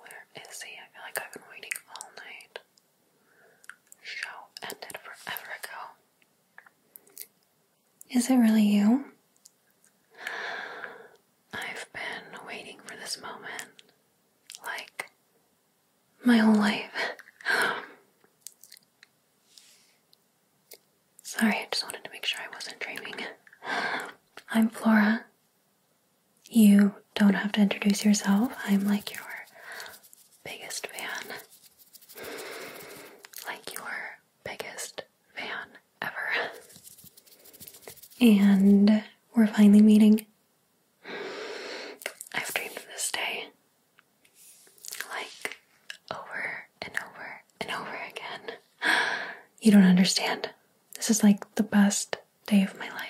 Where is he? I feel like I've been waiting all night. Show ended forever ago. Is it really you? I've been waiting for this moment like my whole life. Sorry, I just wanted to make sure I wasn't dreaming. I'm Flora. You don't have to introduce yourself. I'm like your biggest fan. Like your biggest fan ever. And we're finally meeting. I've dreamed this day like over and over and over again. You don't understand. This is like the best day of my life.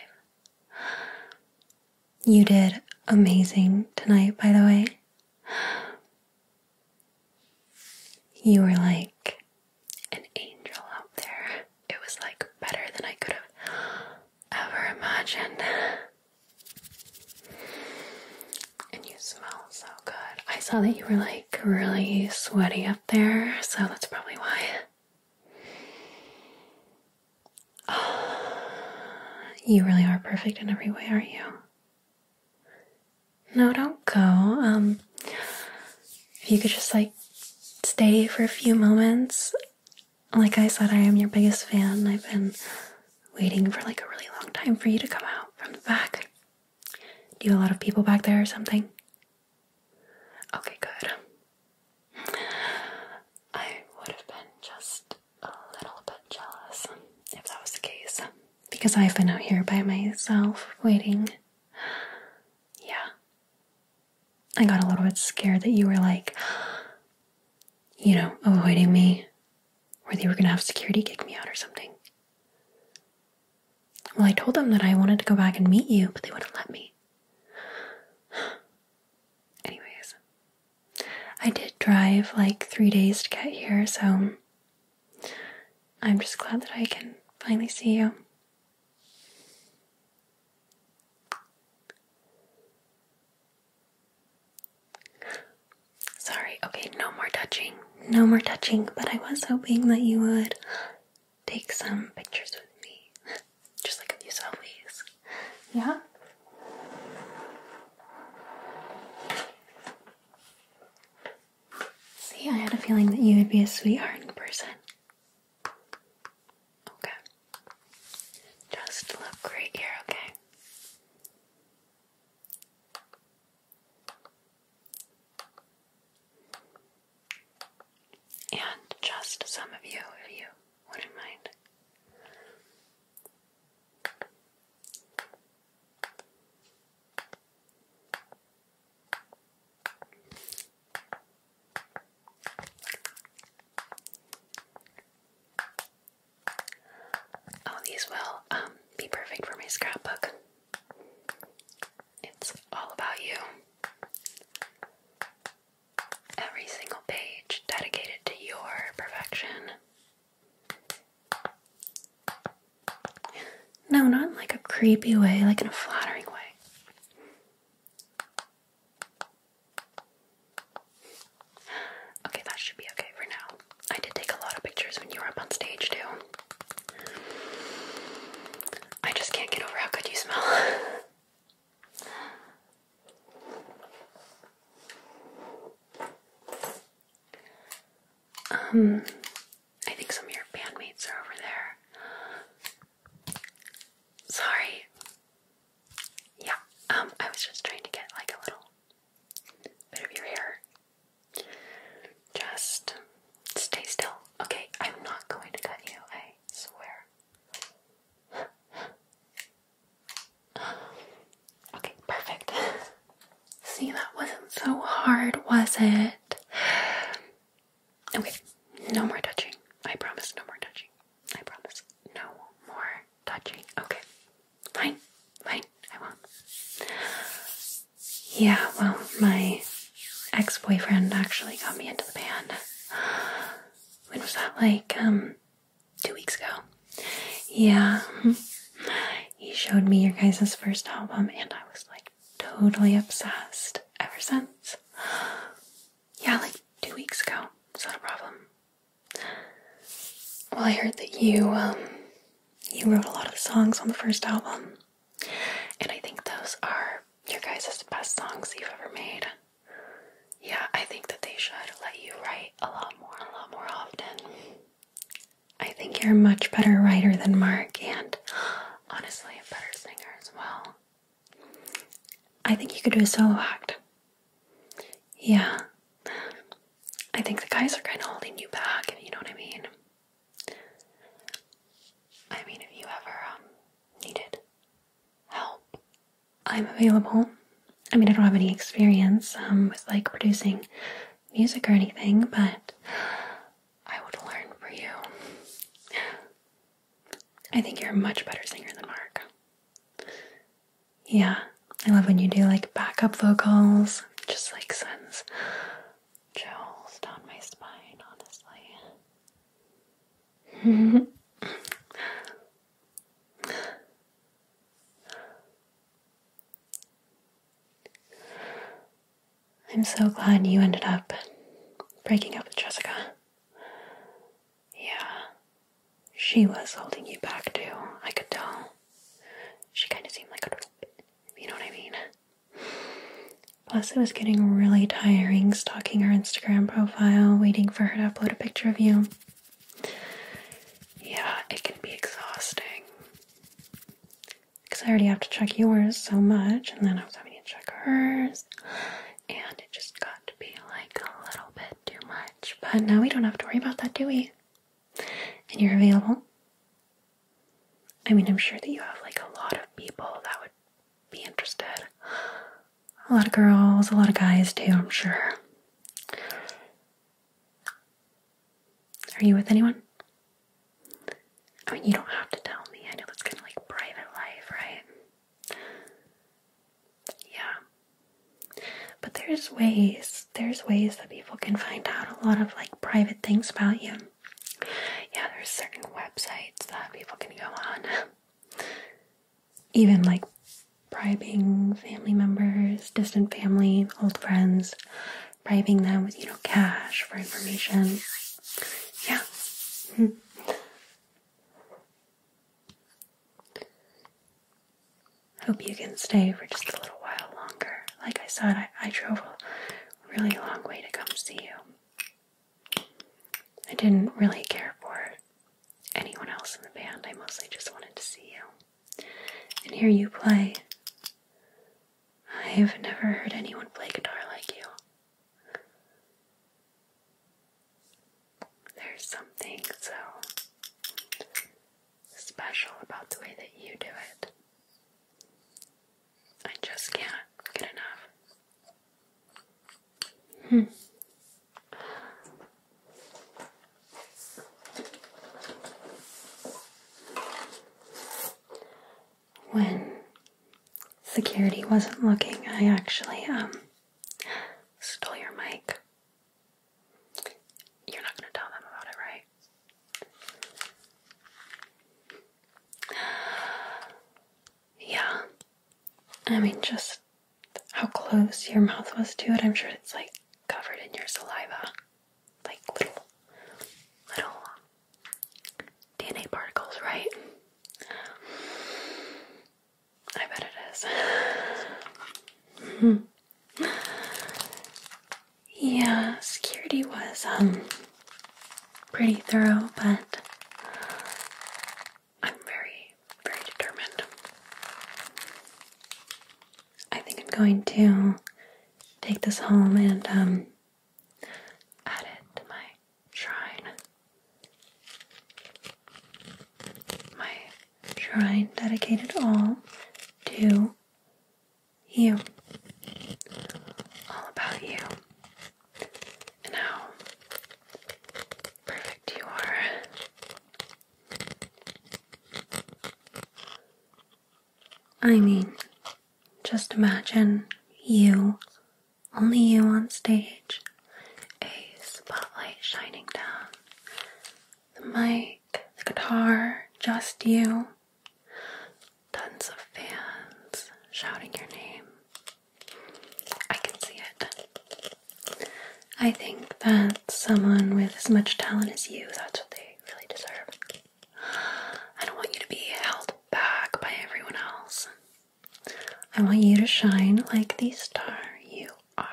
You did amazing tonight, by the way. You were like an angel out there. It was like better than I could have ever imagined. And you smell so good. I saw that you were like really sweaty there, so that's probably why. you really are perfect in every way, are you? No, don't go. Um, if you could just like stay for a few moments. Like I said, I am your biggest fan. I've been waiting for like a really long time for you to come out from the back. Do you have a lot of people back there or something? Okay, good. I would have been just a little bit jealous if that was the case because I've been out here by myself waiting. Yeah. I got a little bit scared that you were like, you know, avoiding me or that you were gonna have security kick me out or something. Well, I told them that I wanted to go back and meet you, but they wouldn't let me. Anyways, I did drive like three days to get here, so I'm just glad that I can finally see you. Sorry, okay, no more touching no more touching, but I was hoping that you would take some pictures with me. Just like a few selfies. Yeah? See, I had a feeling that you would be a sweetheart in person. Okay. Just look right here, okay? And just some of you, if you wouldn't mind. Oh, these will um, be perfect for my scrapbook. It's all about you. Every single page dedicated to your perfection. No, not like a creepy way, like in a flattering way. Okay, that should be okay for now. I did take a lot of pictures when you were up on stage too. I just can't get over how good you smell. um, I think some of your bandmates are over there. Sorry. Yeah, um, I was just trying to get like a little bit of your hair just stay still. Okay, I'm not going to cut you, I swear. okay, perfect. See, that wasn't so hard, was it? Okay, no more touching. I promise, no more touching. I promise, no more touching. Okay, fine, fine, I won't. Yeah, well, my ex boyfriend actually got me into the band. When was that? Like, um, two weeks ago. Yeah. Mm-hmm. He showed me your guys's first album, and I was like totally obsessed ever since. Yeah, like two weeks ago. It's that a problem. Well, I heard that you, um, you wrote a lot of the songs on the first album, and I think those are your guys' best songs you've ever made. Yeah, I think that they should let you write a lot more, a lot more often. I think you're a much better writer than Mark, and honestly, a better singer as well. I think you could do a solo act. Yeah. I think the guys are kind of holding you back, you know what I mean. I mean, if you ever um, needed help, I'm available. I mean, I don't have any experience um, with like producing music or anything, but I would learn for you. I think you're a much better singer than Mark. Yeah, I love when you do like backup vocals, just like sends chills down my spine, honestly. I'm so glad you ended up breaking up with Jessica. Yeah, she was holding you back too, I could tell. She kind of seemed like a little bit you know what I mean? Plus, it was getting really tiring stalking her Instagram profile, waiting for her to upload a picture of you. Yeah, it can be exhausting. Because I already have to check yours so much, and then I was having to check hers, and it just got to be like a little bit too much. But now we don't have to worry about that, do we? And you're available. I mean, I'm sure that you have like a lot of people that would be interested. A lot of girls, a lot of guys too, I'm sure. Are you with anyone? I mean, you don't have to tell me. I know that's kind of like private life, right? Yeah. But there's ways there's ways that people can find out a lot of like private things about you. Yeah, there's certain websites that people can go on. Even like bribing family members, distant family, old friends, bribing them with, you know, cash for information. Yeah. I hope you can stay for just a little while longer. Like I said, I, I drove a really long way to come see you. I didn't really care for anyone else in the band. I mostly just wanted to see you and hear you play. I've never heard anyone play guitar like you. There's something so special about the way that you do it. I just can't get enough. Hmm. When security wasn't looking, I actually um stole your mic. You're not going to tell them about it, right? Yeah. I mean, just how close your mouth was to it. I'm sure it's like covered in your saliva. Like little, little DNA particles, right? I bet it is. -hmm yeah, security was um pretty thorough, but I'm very, very determined. I think I'm going to take this home and um add it to my shrine. My shrine dedicated all to you. All about you. And how perfect you are. I mean, just imagine you, only you on stage, a spotlight shining down, the mic guitar, just you. Tons of fans shouting your name. I can see it. I think that someone with as much talent as you, that's what they really deserve. I don't want you to be held back by everyone else. I want you to shine like the star you are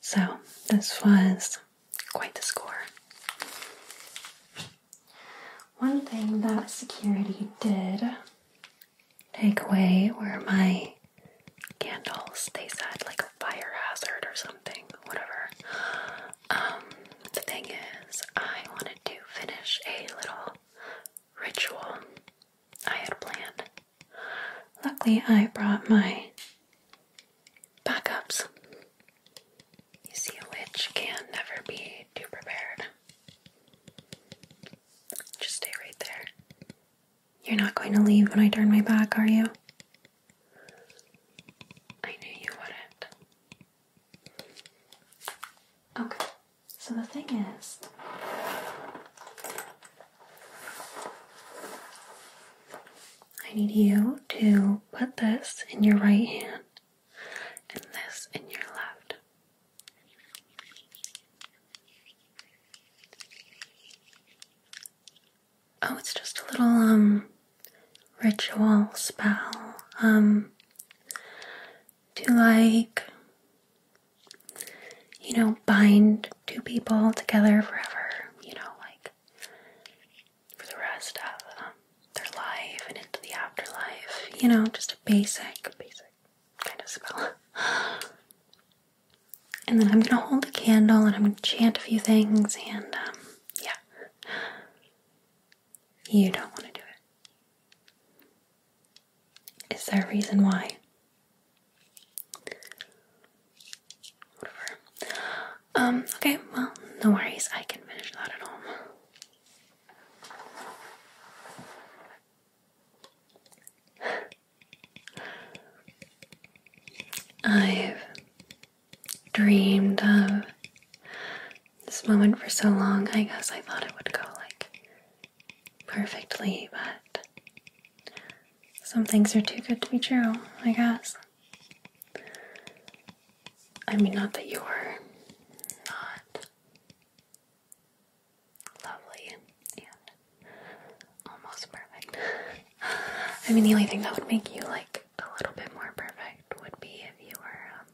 so, this was quite the score. One thing that security did take away were my candles. They said like a fire hazard or something, whatever. Um, the thing is, I wanted to finish a little ritual I had planned. Luckily, I brought my backups. You see, a lich can never be too prepared. Just stay right there. You're not going to leave when I turn my back, are you? I knew you wouldn't. Okay. So the thing is, I need you to put this in your right hand and this in your left. Oh, it's just a little um ritual spell. Um to like you know, bind two people together forever, you know, like for the rest of um, their life and into the afterlife, you know, just a basic, basic kind of spell. And then I'm gonna hold a candle and I'm gonna chant a few things, and um, yeah, you don't want to do it. Is there a reason why? Whatever. Um, okay, well, no worries. I can finish that at home. I've dreamed of this moment for so long. I guess I thought it would go like perfectly, but some things are too good to be true, I guess. I mean, not that you're not lovely and almost perfect. I mean, the only thing that would make you like a little bit more perfect would be if you were um,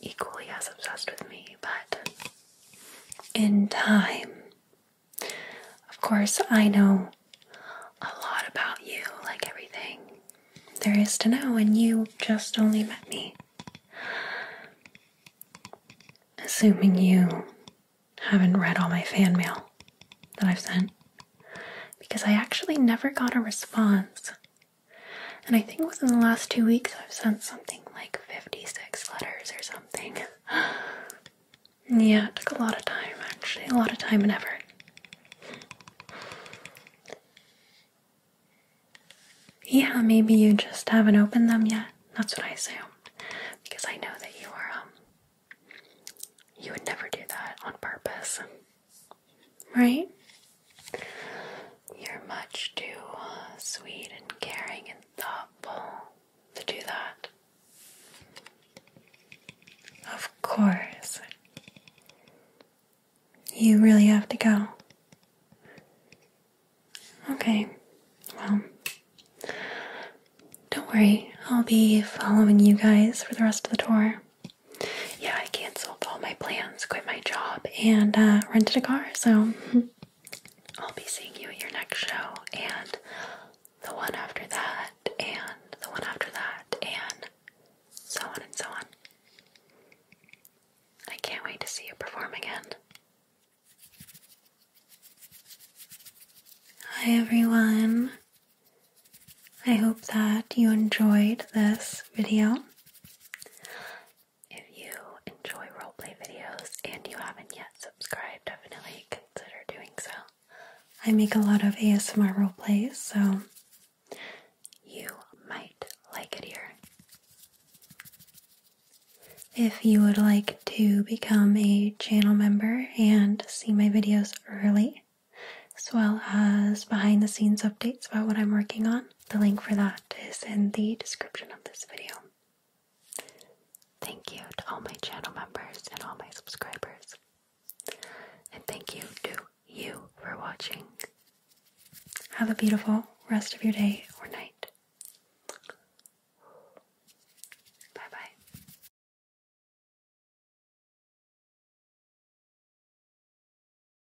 equally as obsessed with me, but in time, of course, I know a lot about you, like everything there is to know, and you just only met me. Assuming you haven't read all my fan mail that I've sent, because I actually never got a response and I think within the last two weeks, I've sent something like 56 letters or something. yeah, it took a lot of time actually, a lot of time and effort. Yeah, maybe you just haven't opened them yet. That's what I assume, Because I know that you are, um, you would never do that on purpose. Right? You're much too uh, sweet and caring and thoughtful to do that. Of course. You really have to go. Okay, well, don't worry. I'll be following you guys for the rest of the tour. Yeah, I canceled all my plans, quit my job, and uh, rented a car. So I'll be seeing you at your next show, and the one after that, and the one after that, and so on and so on. I can't wait to see you perform again. Hi everyone. I hope that you enjoyed this video. If you enjoy roleplay videos and you haven't yet subscribed, definitely consider doing so. I make a lot of ASMR roleplays, so you might like it here. If you would like to become a channel member and see my videos early, as well as behind the scenes updates about what I'm working on, the link for that is in the description of this video. Thank you to all my channel members and all my subscribers. And thank you to you for watching. Have a beautiful rest of your day or night. Bye bye.